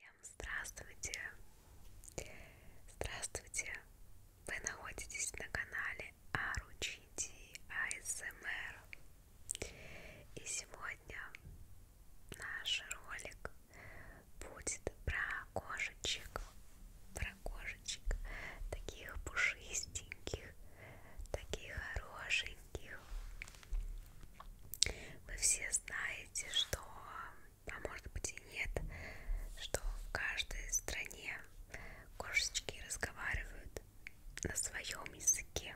Всем здравствуйте! Здравствуйте! Вы находитесь на канале Аручити ASMR эм И сегодня наш ролик будет про кошечек Про кошечек таких пушистеньких, таких хорошеньких вы все знаете, что а может быть и нет, что в каждой стране кошечки разговаривают на своем языке.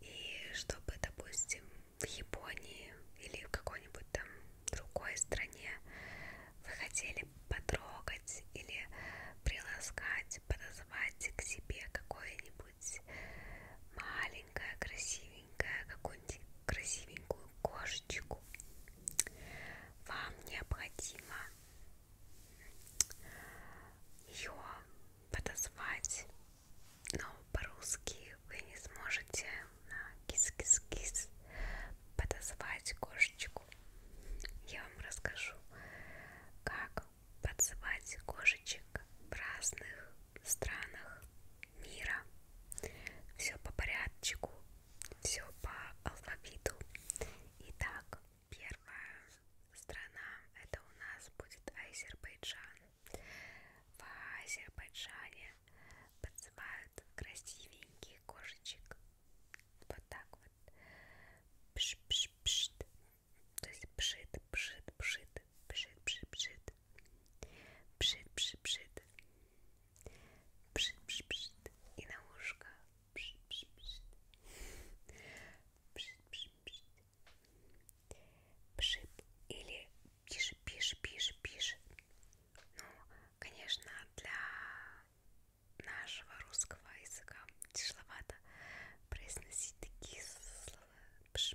И чтобы, допустим, в Японии или в какой-нибудь там другой стране вы хотели потрогать или приласкать, подозвать к себе какое-нибудь маленькое красивенькая, красивенькая, какую-нибудь красивенькую кошечку, вам необходимо ее подозвать, но по-русски вы не сможете кис-кис-кис подозвать кошечку. Я вам расскажу, как подзывать кошечек в разных странах мира. Все по порядочку, все по алфавиту. Итак, первая страна это у нас будет Азербайджан. В Азербайджане подзывают красивеньких кошечек. Вот так вот. Пш -пш -пш. То есть пшит, пшит, пшит пшит, пшит, пшит, пшит, пшит, пшит, пшит, пшит, пшит, и на ушко пшит, пшит, пшит, пшит, пшит, пшит, пшит, или пишет, пишет, пишет, пишет. Ну, конечно, для нашего русского языка тяжеловато произносить такие слова. Пш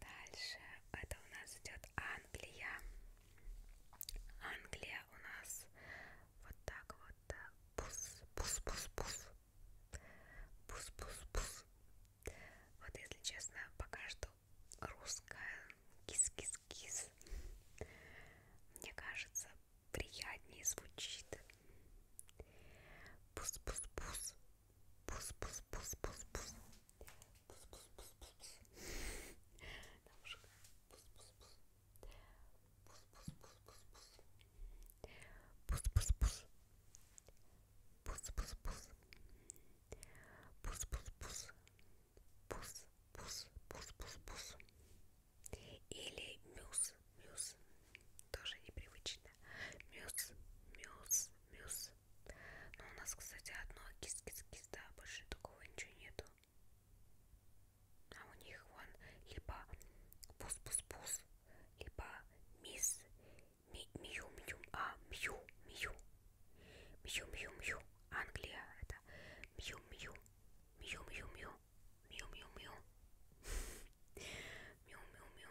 Дальше это у нас идет Англия. Англия у нас вот так вот. Пус-пус-пус-пус. Э, Пус-пус-пус. Вот если честно, пока что русская кис-кис-кис. Мне кажется, приятнее звучит. Пус-пус-пус. Пус-пус-пус-пус-пус. Пус-пус-пус-пус. Девушка. Пус-пус-пус. Пус-пус-пус-пус-пус. Пус-пус-пус. Пус-пус-пус. Пус-пус-пус. Пус-пус-пус-пус-пус. Или мюс, мюс, тоже непривычно. Мюс, мюс, мюс, но у нас, кстати, одно кис-кис-кис, да, больше такого ничего нету. А у них вон либо пус-пус-пус, либо мисс, ми, мью, мью, а, мью, мью, мью, мью, мью, Англия, это мью, мью, мью, мью, мью, мью, мью, мью, мью, мью, мью,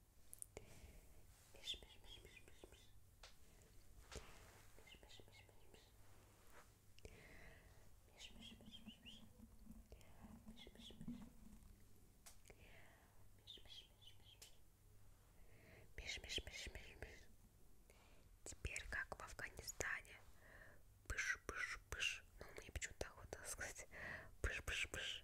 Миш, миш, миш, миш, миш, миш. Миш, миш, миш, миш, миш. Миш, миш, миш, миш, миш. Миш, миш, миш. Миш, миш, миш, миш, миш. Миш, миш, миш, миш, миш. Теперь как в Афганистане. Пыш, пыш, пыш. Ну, мне почему-то охота сказать. Пыш, пыш, пыш.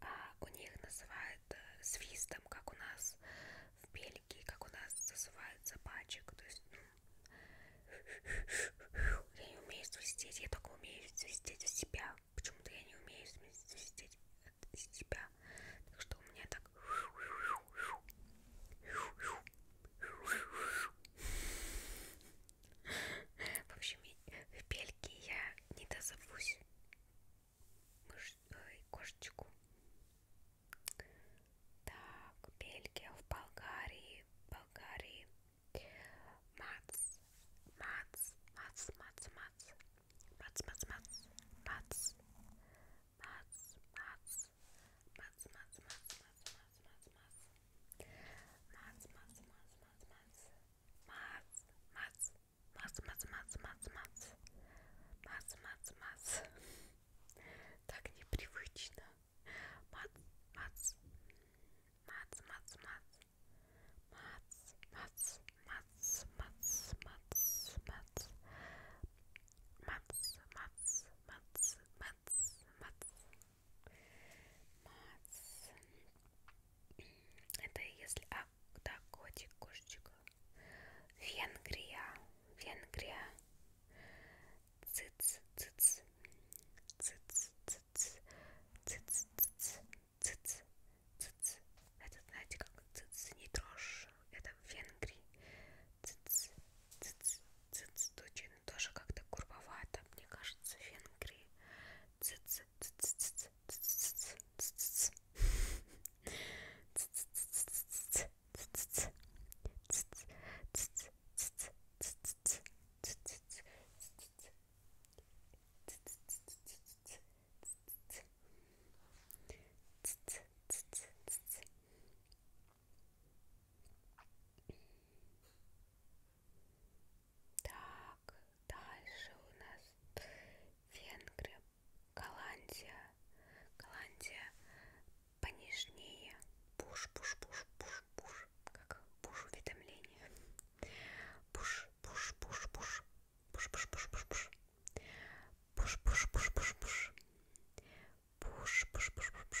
А у них называют э, свистом, как у нас в Бельгии, как у нас называют собачек. То есть, ну, я не умею свистеть, я только умею свистеть в себя. Почему-то я не умею свистеть от себя. Так что у меня так... В общем, в Бельгии я не дозовусь Мыш... Ой, кошечку. Так, Бельгия в Болгарии, Болгарии. Мац, мац, мац, мац, мац. Мац, мац, мац, мац. Мац, мац, мац, мац, мац, мац, мац, мац, мац. Мац, мац, мац, мац, мац. Мац, мац, мац, мац, мац, мац, мац. Мац, мац, мац. Так непривычно. Мац, мац. Мац, мац, мац. Мац, мац, мац, мац, мац, мац. Мац, мац, мац, мац. Мац, Мац, Мац. Это если... А, да, котик, кошечка. Венгрия, Венгрия. Циц, циц, циц, циц, циц, циц, циц, циц. Это, знаете, как циц, не трожь. Это в Венгрии. Циц, циц, циц, точно Украины тоже как-то курвовато, мне кажется, Венгрии. Так, дальше у нас Венгрия, Голландия. Голландия понежнее. Пуш, пуш, пуш, пуш, пуш. Как пуш уведомление. Пуш, пуш, пуш, пуш. Пуш, пуш, пуш, пуш, пуш. Пуш, пуш, пуш, пуш, пуш. Пуш, пуш, пуш, пуш, пуш.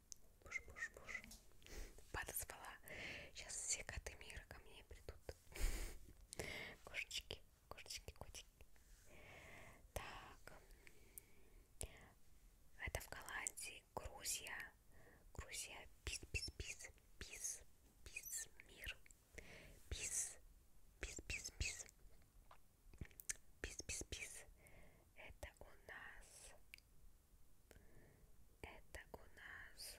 Буш, буш, буш. Подозвала. Сейчас все коты мира ко мне придут. Кошечки, кошечки, котики. Так. Это в Голландии. Грузия. Грузия. Пис, пис, пис. Пис, пис, мир. Пис, пис, пис, пис. Пис-пис-пис. Это у нас... Это у нас...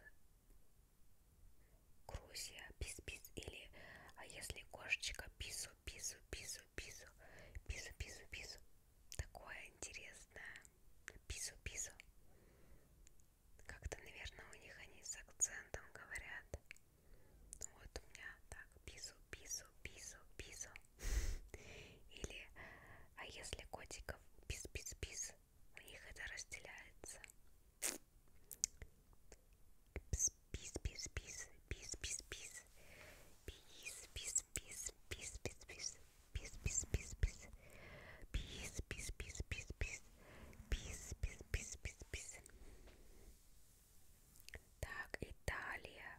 Грузия. Пис-пис. Или... А если кошечка пису, пису, пису, пису. Пису, пису, пису. Такое интересное. Пису, пису. Как-то, наверное, у них они с акцентом говорят. Вот у меня так, пису, пису, пису, пису. Или, а если котиков пис-пис-пис, у них это разделяется. Пис-пис-пис-пис, пис-пис-пис, пис-пис-пис, пис-пис-пис, пис-пис-пис-пис, пис-пис-пис-пис-пис, пис-пис-пис-пис-пис. Так, Италия.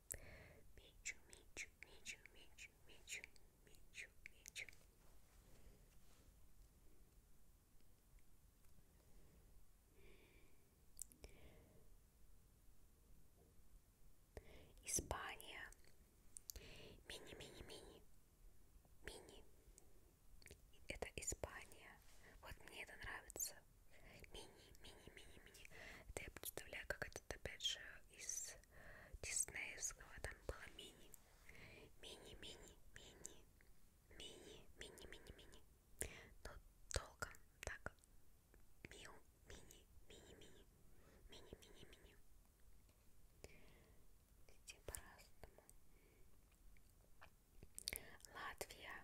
Мечу, мечу, мечу, мечу, мечу, мечу, мечу. Испания. Мини, мини, мини. Мини. Это Испания. Вот мне это нравится мини-мини-мини-мини. Это я представляю, как это опять же из диснеевского там было мини. Мини-мини-мини. Мини-мини-мини-мини. Но долго так. Миу, мини, мини-мини. Мини-мини-мини. Иди по-разному. Латвия.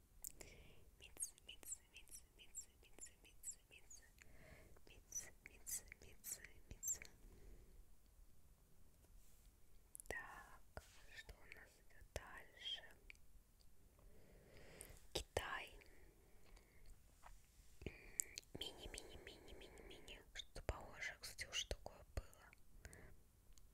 Митс, митс, митс, митс, митс, митс, митс, митс, митс, митс, митс. Так, что у нас идет дальше? Китай. Мини-мини-мини-мини-мини. Что-то похоже, кстати, уж такое было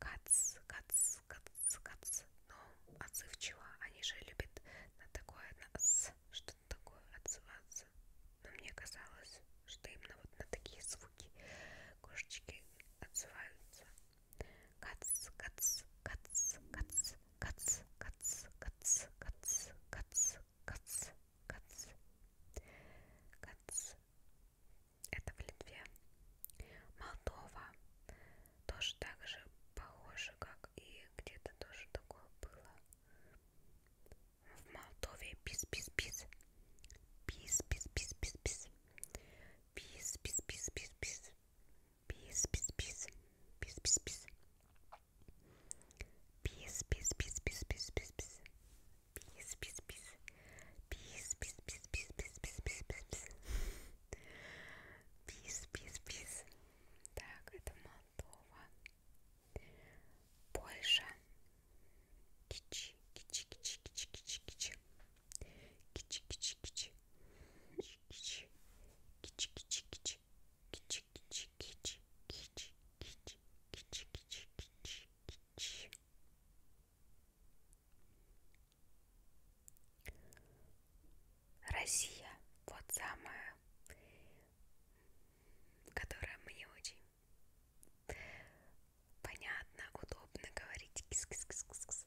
кац, кац, кац, кац, но отзывчиво. Они же любят на такое, на что-то такое отзываться. Но мне казалось, что именно вот на такие звуки кошечки отзываются. Кац, кац, кац, кац, кац, кац, кац, кац, кац, кац, кац, кац, кац, это в Литве. Молдова тоже так же похоже, как и где-то тоже такое было. В Молдове пис-пис-пис. Пис-пис-пис-пис-пис. Пис-пис-пис-пис-пис. Пис-пис-пис. Пис-пис-пис. Пис-пис-пис-пис-пис-пис. Пис, пис, пис. Пис, пис, пис, пис, пис, пис, пис, пис, пис. Пис, пис, пис. Так, это Молдова. Польша. Кичи, кичи, кичи, кичи, кичи, кичи. Кичи, кичи, кичи. Кичи, кичи, кичи, кичи. Кичи, кичи, кичи, кичи, кичи, кичи, кичи, кичи, кичи. Россия, вот самая, которая мне очень понятно, удобно говорить. Кис-кис-кис-кис-кис.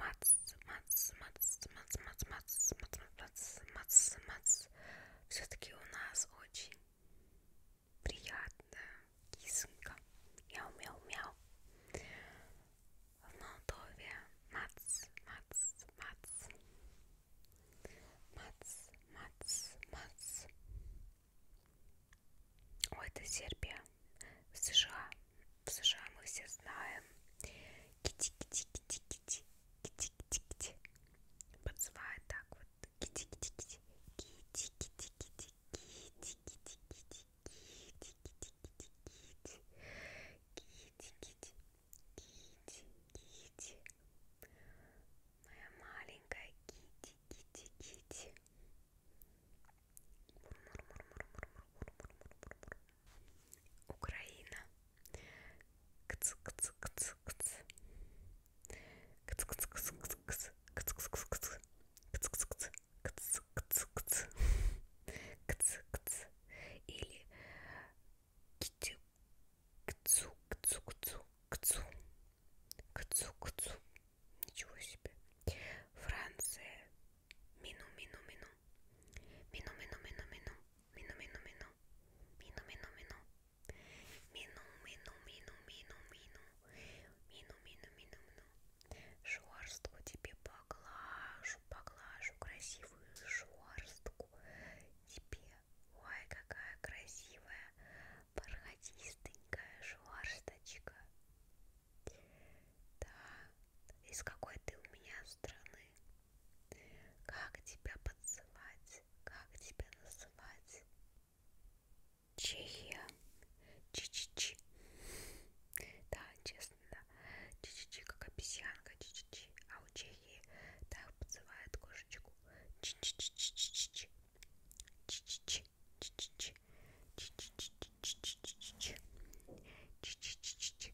Мац, мац, мац, мац, мац, мац, мац, мац, мац, мац. Все-таки у нас очень приятная кисонька. Мяу, мяу, мяу. В Молдове мац, мац, мац. Мац, мац, мац. Ой, это Сербия. США. В США мы все знаем кити кити кити кити кити кити кити подзывает так вот кити кити кити кити кити кити кити кити кити кити кити кити кити кити кити кити моя маленькая кити кити кити Украина кц кц кц кц кц кц кц кц кц кц кц кц кц кц кц кц кц кц кц или кцу кцу кцу кцу кцу кцу кцу ничего себе Франция мину мину мину Minu, minu, minu, minu, minu, minu, minu, minu, minu, minu, minu, minu, minu, mину, minu, minu, minu, mину, minu. Шорстку тебе поглажу, поглажу красивую шорстку тебе. Ой, какая красивая, бархатистенькая шорсточка. Да, из какой ты у меня страны? мной. Как тебя подзывать, как тебя называть? Чехия, чи-чи-чи. Да, честно, да. Чи-чи-чи, как обезьянка, чи-чи-чи. А у Чехии так подзывает кошечку. Чи-чи-чи-чи-чи-чи. Чи-чи-чи, чи-чи-чи. Чи-чи-чи-чи-чи-чи. Чи-чи-чи-чи.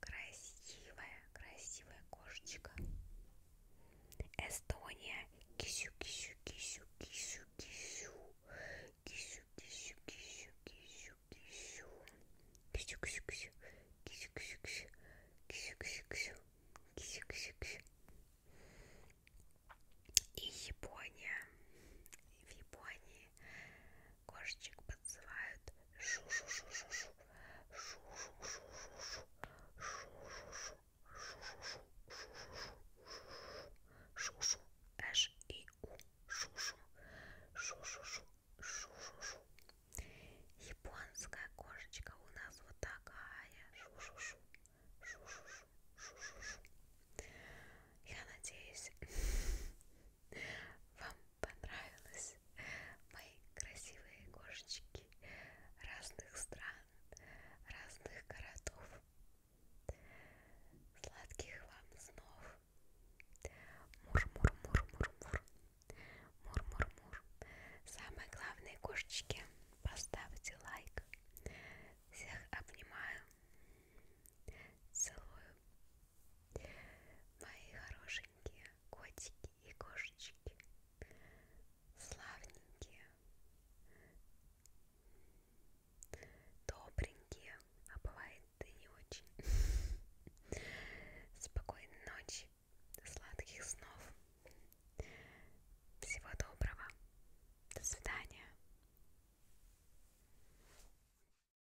Красивая, красивая кошечка. Эстония. Кисю, кисю, кисю, кисю, кисю. Кисю, кисю, кисю, кисю, кисю. Кисю, кисю, кисю. Кисю, кисю, кисю. Кисю, кисю, кисю. Кисю, кисю, кисю. И Япония. В Японии Кошечек подзывают. Шу-шу-шу-шу-шу. Шу-шу-шу-шу-шу. Шу-шу-шу. Шу-шу. Эш и у. Шу-шу. Шу-шу-шу. Шу-шу-шу. Японская кошечка у нас вот такая. Шу-шу-шу. Шу-шу-шу. Шу-шу-шу. Я надеюсь, вам понравилось мои красивые кошечки разных стран, разных городов. Сладких вам снов. Мур-мур-мур-мур-мур. Мур-мур-мур. Самое главное, кошечки, поставьте лайк. Всех обнимаю. Целую. Мои хорошенькие котики и кошечки. Славненькие. Добренькие. А бывает и не очень. Спокойной ночи. Сладких снов. Всего доброго. До свидания.